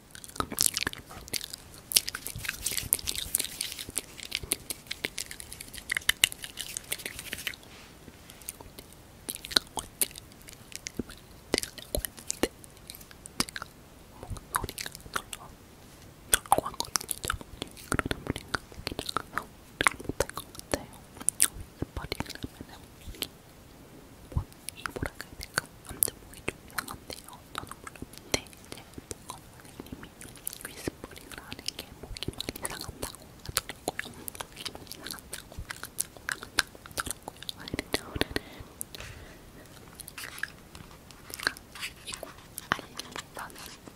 스파링을 하면은 목이 뭐, 이 뭐랄까 해야 될까? 남자 목이 좀 이상한데요. 저는 몰랐는데 이제 뭔가 선생님이 위스프링을 하는 게 목이 많이 상한다고 하더라고요. 목이 많이 상한다고, 상한다고, 상한다고 하더라고요. 그래서 오늘은 이거 알려달라는 그런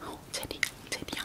어, 제리, 제리야.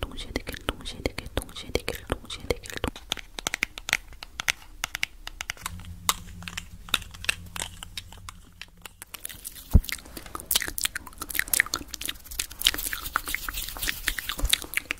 동시에 대결, 동시에 대결, 동시에 대결, 동시에 대결.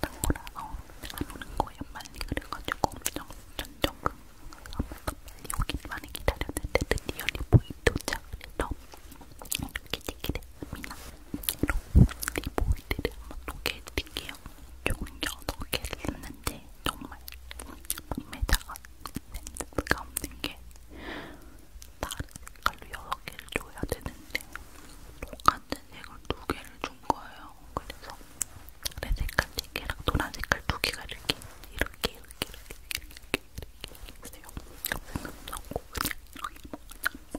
딴 거라서 안 오는 거예요. 빨리 그래가지고 엄청 전적금 아무도 빨리 오길 많이 기다렸는데 드디어 리보이 도착을 해서 이렇게 찍게 됐습니다. 리보이들을 한번 소개해드릴게요. 종이 8개를 썼는데 정말 판매자가 센스가 없는 게 다른 색깔로 6개를 줘야 되는데 똑같은 이걸 두 개를 준 거예요. 그래서 레 색깔 세 개랑 노란 색깔 두 개가 이렇게 이렇게 이렇게 이렇게 이렇게 이렇게 있어요. 그래서 넣고 그냥 이렇게 먹어요.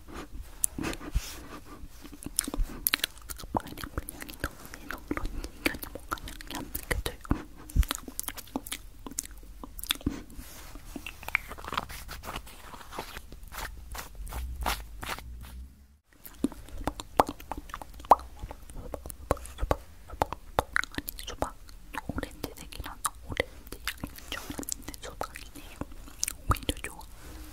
그냥 그냥 너무 너무 이견이 뭔가 양이 안 느껴져요. 아니 수박 오렌지색이랑 오렌지 양이 좀 많은데 수박이네요. 오히려 좋아. 잘안 돌아가.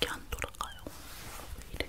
이게 안 돌아가요. 왜 이래?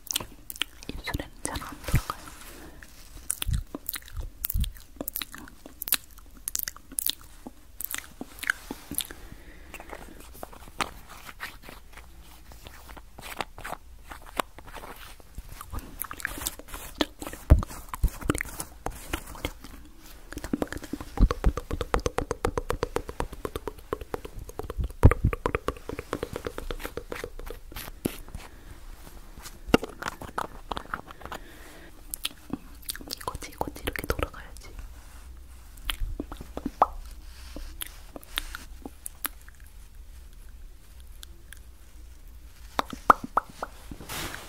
입술에는 잘안 들어가요. 아, 이거지 이거지 이렇게 돌아가야지.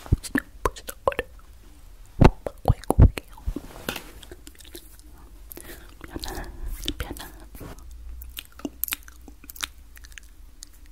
부지덕부지덕거려. 바꿔입고 올게요. 미안해, 미안해.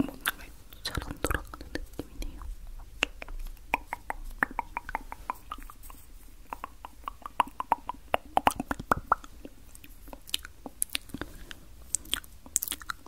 뭔가 잘안 돌아가는 느낌이네요.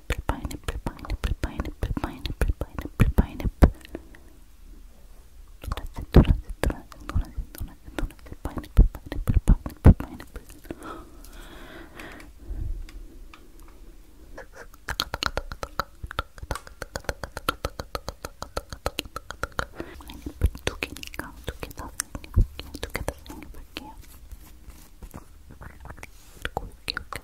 파인애플 파인애플 파인애플 파인애플 파인애플 파인애플 파인애플 노란색 노란색 노란색 노란색 노란색 노란색 파인애플 파인애플 파인애플 파인애플 파인애플 두 개니까 두개다 생겨볼게요 두개다 생겨볼게요 이렇게 이렇게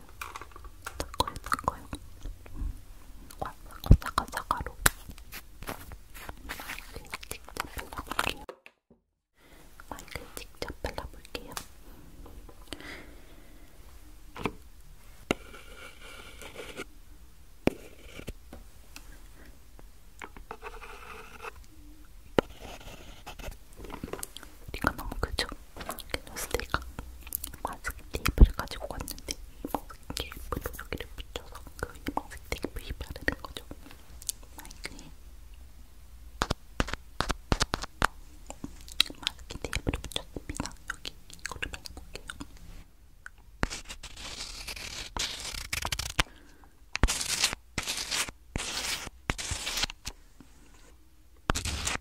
거예요. 닦 거예요, 닦 거예요. 와사가사가로 마이크 직접 발라볼게요. 마이크 직접 발라볼게요. 우리가 너무 그죠? 그냥 스테이크 과즙 테이프를 가지고 왔는데 희망색 테이프로 여기를 붙여서 그 희망색 테이프에 바르는 거죠. 마이크에 마스킹 테이프를 붙였습니다. 여기 이거를 발라볼게요. 이렇게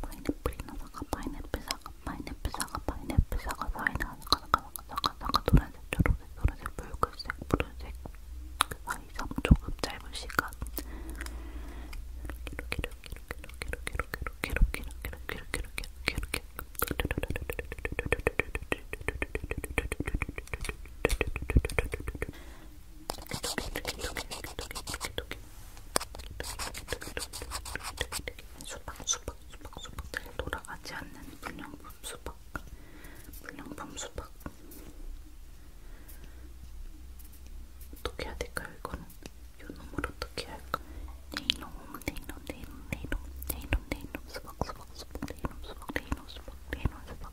파인애플이나 사과, 파인애플 사과, 파인애플 사과, 파인애플 사과, 파인애플 사과, 사과, 사과, 사과, 노란색, 초록색, 노란색, 붉은색, 푸른색 그 사이에서 조금 짧은 시간 이렇게 이렇게 이렇게 이렇게 이렇게 이렇게 이렇게 이렇게 이렇게 이렇게 이렇게 이렇게 수박 수박 수박 수박 돌아가지 않는 불량품 수박 불량품 수박 어떻게 해야 될까요 이거는 요 놈을 어떻게 할까 네이놈 네이놈 네이놈 네이놈 네이놈 네이놈 수박 수박 수박 네이놈 수박 네이놈 수박 네이놈 수박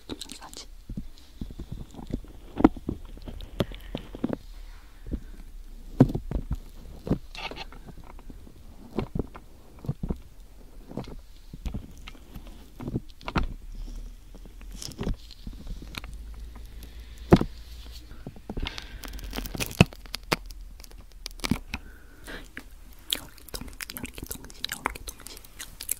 사진. 여기 동시에 여기 동시에 여기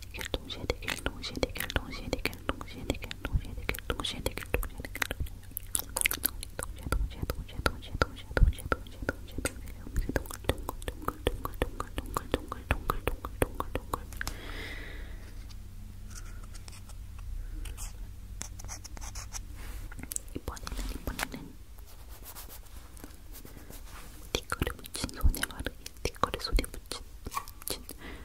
대결 동시에 대결 동시에 대결 동시에 대결 동시에 대결 동시에 대결 동시에 대결 동시에 대결 동시에 동시에 동시에 동시에 동시에 동시에 동시에 동시에 동시에 동글동글동글동글동글동글동글동글동글동글동글동글 이번에는 이번에는 스티커를 붙인 손에 바르기 스티커를 손에 붙인, 붙인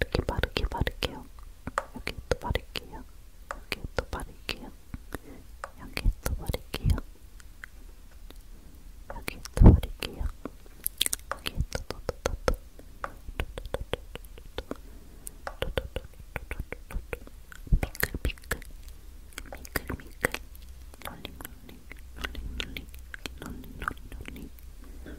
이렇게 바르게 바를게요. 여기 또 바를게요. 여기 또 바를게요. 여기 또 바를게요. 여기 또 바를게요. 여기 넣어드릴게요. 여기 또또또또또 미끌 미끌 미끌 미끌 롤링 롤링 롤링 롤링 롤링 롤링 롤링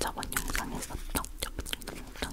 저번 영상에서 정, 정, 정, 정,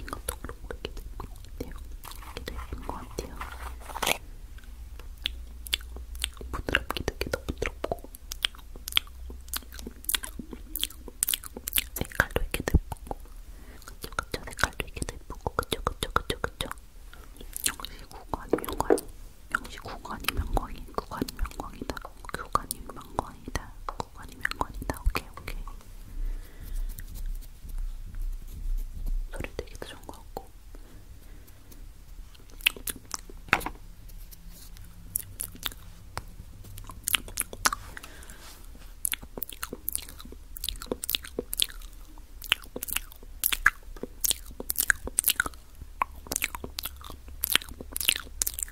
이것도 그렇고 이렇게 될것 같아요. 이렇게 될것 같아요. 부드럽게 되게 더 부드럽고 색깔도 이렇게 예쁘고 그쵸 그쵸 색깔도 이렇게 예쁘고 그쵸 그쵸 그쵸 그쵸 명시 구간이 명관이 명시 구간이 명광이 구간이 명광이다 구간이 명광이다 거건이면 건이다. 오케이, 오케이. 소리 되기도 좋은 것 같고.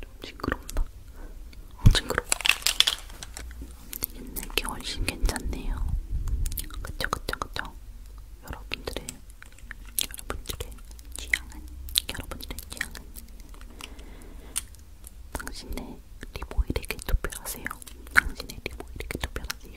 좀 징그럽나? 어, 징그러워. 옛날 게 훨씬 괜찮네요. 그쵸, 그쵸, 그쵸. 여러분들의, 여러분들의 취향은, 여러분들의 취향은 당신의 리보일에게 투표하세요. 당신의 리보일에게 투표하세요.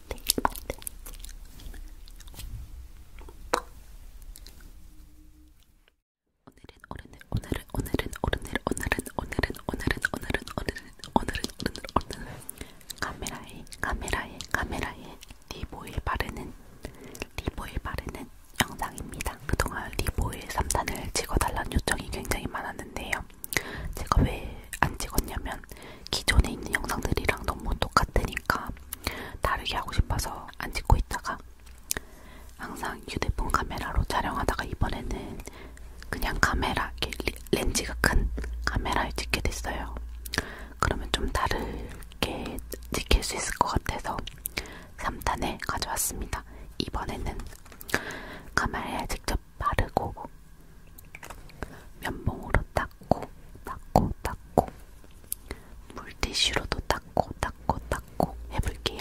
오늘은 오늘은 오늘은 오늘은 오늘은 오늘은 오늘은 오늘은 오늘은 오늘은 오늘은 오늘은 카메라에 카메라에 카메라에 리보일 바르는 리보일 바르는 영상입니다. 그동안 리보일 3탄을 찍어달라는 요청이 굉장히 많았는데요. 제가 왜 안 찍었냐면 기존에 있는 영상들이랑 너무 똑같으니까 다르게 하고 싶어서 안 찍고 있다가 항상 휴대폰 카메라로 촬영하다가 이번에는 그냥 카메라, 렌즈가 큰 카메라를 찍게 됐어요. 그러면 좀 다르게 찍힐 수 있을 것 같아서 3탄에 가져왔습니다. 이번에는 카메라에 직접 바르고 면봉으로 닦고 닦고 닦고 물티슈로도 닦고 닦고 닦고 해볼게요.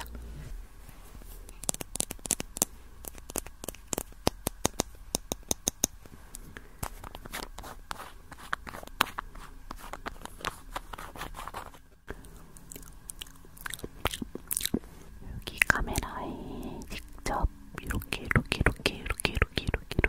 여기 카메라에 직접 이렇게 이렇게 이렇게 이렇게 이렇게 이렇게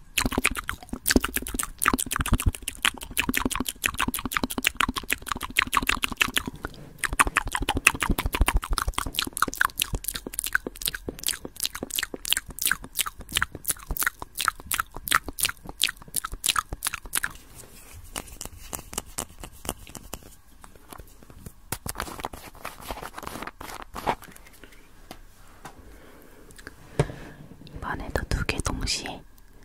이번에도 두개 동시에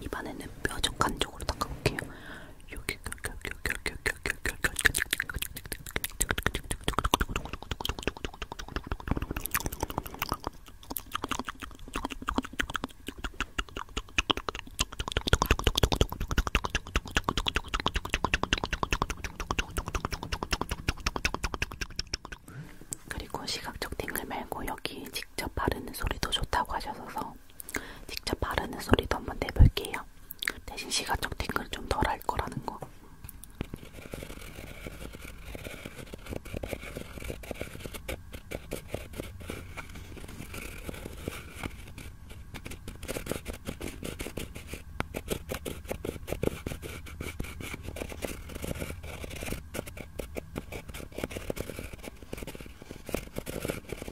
입안에는 뾰족한 쪽으로 닦아볼게요. 그리고 시각적 팅글 말고 여기 직접 바르는 소리도 좋다고 하셔서 직접 바르는 소리도 한번 내볼게요. 대신 시간적 팅글 좀 덜 할 거라는 거.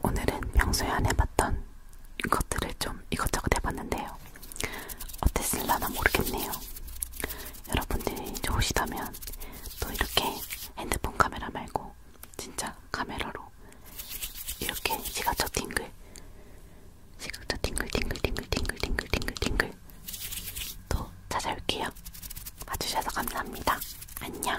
오늘은 평소에 안 해봤던 것들을 좀 이것저것 해봤는데요. 어땠을라나 모르겠네요. 여러분들이 좋으시다면 또 이렇게 핸드폰 카메라 말고 그래서 진짜 카메라로 이렇게 시각처 팅글 시각처 팅글 팅글 팅글 팅글 팅글 팅글 팅글 또 찾아올게요. 봐주셔서 감사합니다. 안녕.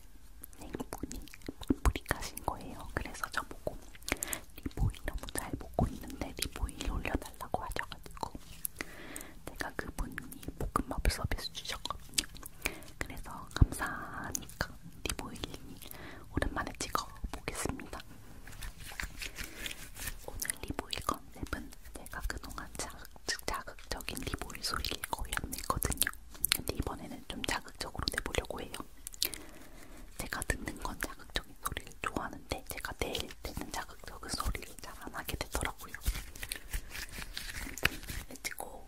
생분이 뿌리 가신 거예요. 그래서 저보고 리보이 너무 잘 먹고 있는데 리보이 올려달라고 하셔가지고 제가 그분이 볶음밥 서비스 주셨거든요. 그래서 감사하니까 리보이 오랜만에 찍어보겠습니다. 오늘 리보이 컨셉은 제가 그동안 자극, 자극적인 리보이 소리를 거의 안 냈거든요. 근데 이번에는 좀 자극적으로 내보려고 해요. 제가 듣는 건 자극적인 소리를 좋아하는데 제가 내일 때는 자극적인 소리를 잘 안 하게 되더라고요. 렛츠고!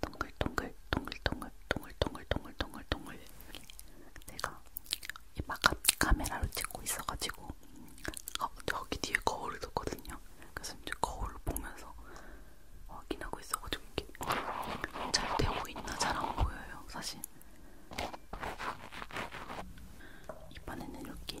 동글동글 동글동글 동글동글 동글동글 동글 내가 이막 카메라로 찍고 있어가지고 어, 저기 뒤에 거울을 뒀거든요. 그래서 이제 거울을 보면서 확인하고 있어가지고 이게 잘 되고 있나 잘 안 보여요, 사실. 이번에는 여기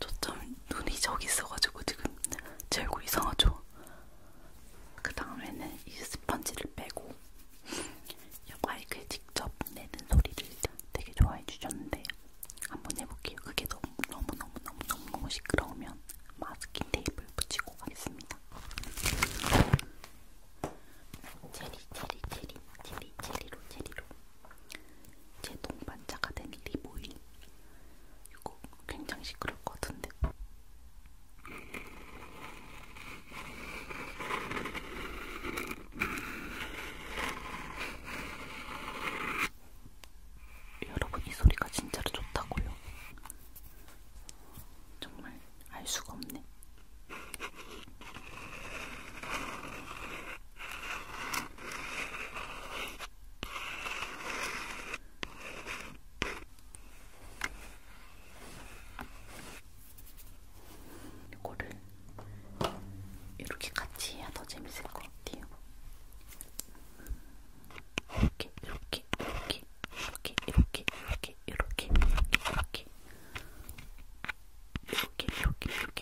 초점 눈이 저기 있어가지고 지금 제 얼굴 이상하죠? 그 다음에는 이 스펀지를 빼고 이 마이크에 직접 내는 소리를 되게 좋아해 주셨는데 한번 해볼게요. 그게 너무 너무 너무 너무 너무 너무 시끄러우면 마스킹 테이프를 붙이고 가겠습니다. 체리 체리 체리 체리 체리로 체리로 제 동반자가 된 리보인 이거 굉장히 시끄러울 것 같은데 여러분 이 소리가 진짜로 좋다고요 정말 알 수가 없네 이거를 이렇게 같이 해야 더 재밌을 것 같아요. 이렇게, 이렇게, 이렇게, 이렇게, 이렇게, 이렇게, 이렇게, 이렇게, 이렇게, 이렇게, 이렇게, 이렇게, 이렇게,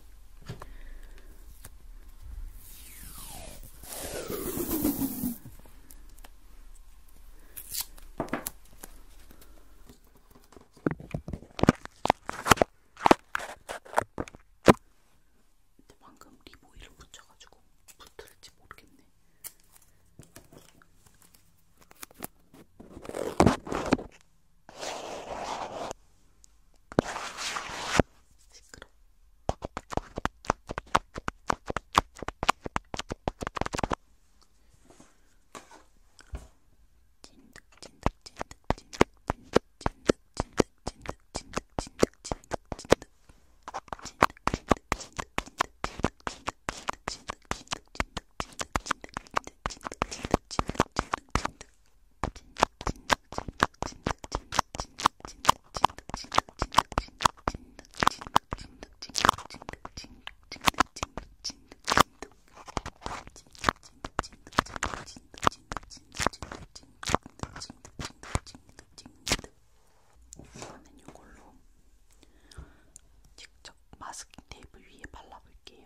근데 방금 리보이를 붙여가지고 붙을지 모르겠네. 시끄러. 이번엔 이걸로 직접 마스킹 테이프 위에 발라볼게요.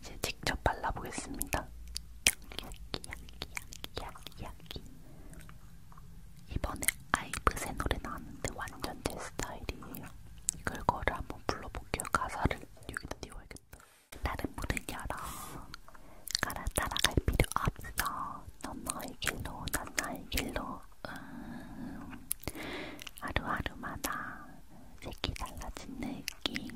이제 직접 발라보겠습니다. 야기야기야기야기 이번에 아이브의 노래 나왔는데 완전 제 스타일이에요. 이걸 거를 한번 불러볼게요. 가사를 여기다 띄워야겠다. 다른 문을 열어. 가라 따라갈 필요 없어. 넌 너의 길로, 난 나의 길로. 음, 하루하루마다 색이 달라진 느낌.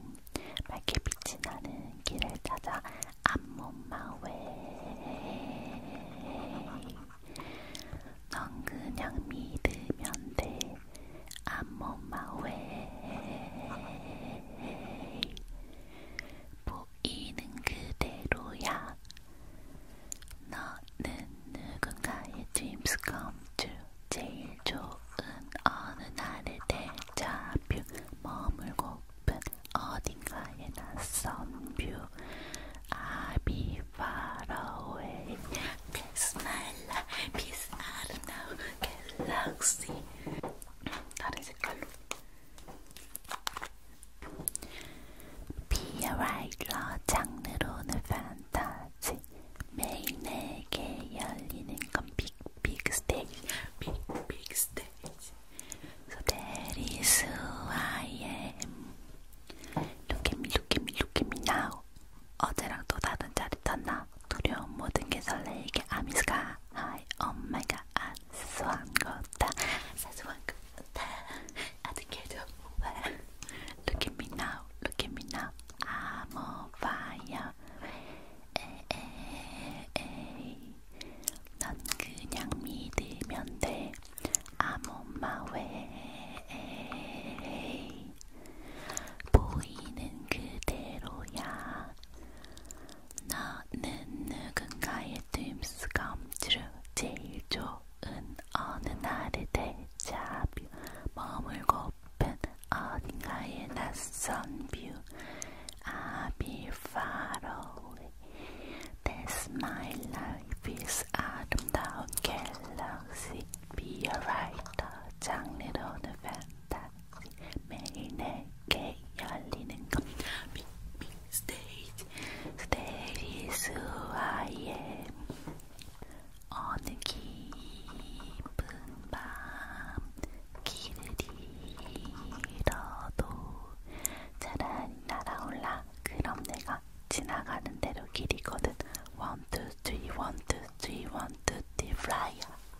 밝게 빛이 나는 길을 찾아 안몸마웨넌 그냥 믿으면 돼. I'm on my way. 보이는 그대로야. 너는 누군가의 dreams come true. 제일 좋은 어느 날의 대자뷰. 머물고픈 어딘가에 낯선 뷰. I'll be far away. Bismillah, Bismillah, galaxy. That is a color. PRI라 장르로는 판타지 매일 내게 열리는 건 big big stage big big stage So that is who I am Look at me, look at me, look at me now 어제랑 또 다른 짜릿한나 두려운 모든 게 설레이게 아미스가 하이 엄마가 안 사소한 것다 사소한 것다 아득해도 뭐야 Look at me now, look at me now I'm on fire 에에에에이 넌 그냥 믿으면 돼 I'm on my way 보이는 그대로야. 나는 누군가의 뜸스감지로 제일 좋은 어느 날의 대자뷰 머물고픈 어딘가의 낯선 뷰 I'll be far away That's my life is 아름다운 갤럭시 Be a writer 장르로는 팬타 매일 내게 열리는 것 빅빅 스테이지 스테이지 수아의 어느 깊은 밤 길을 잃어도 차라리 날아올라 그럼 내가 지나가는 대로 길이거든 One, two, three, one, two, three, one, two, three, flyer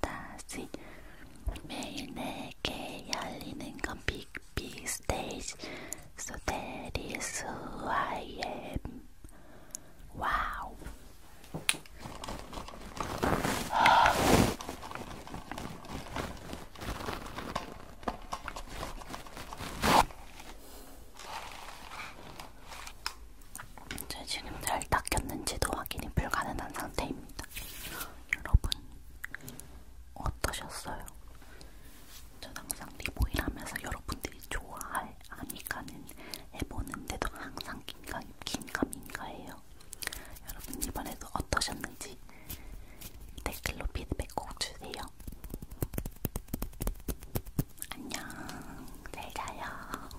판타지 매일 내게 열리는 건 빅빅 스테이지 So that is who I am 와우 제 지금 잘 닦였는지도 확인이 불가능한 상태입니다. 여러분 어떠셨어요? 전 항상 리보일 하면서 여러분들이 좋아할 아미카는 해보는데도 항상 긴가, 긴가민가해요. 여러분 이번에도 어떠셨는지 댓글로 피드백 꼭 주세요. 안녕, 잘 자요.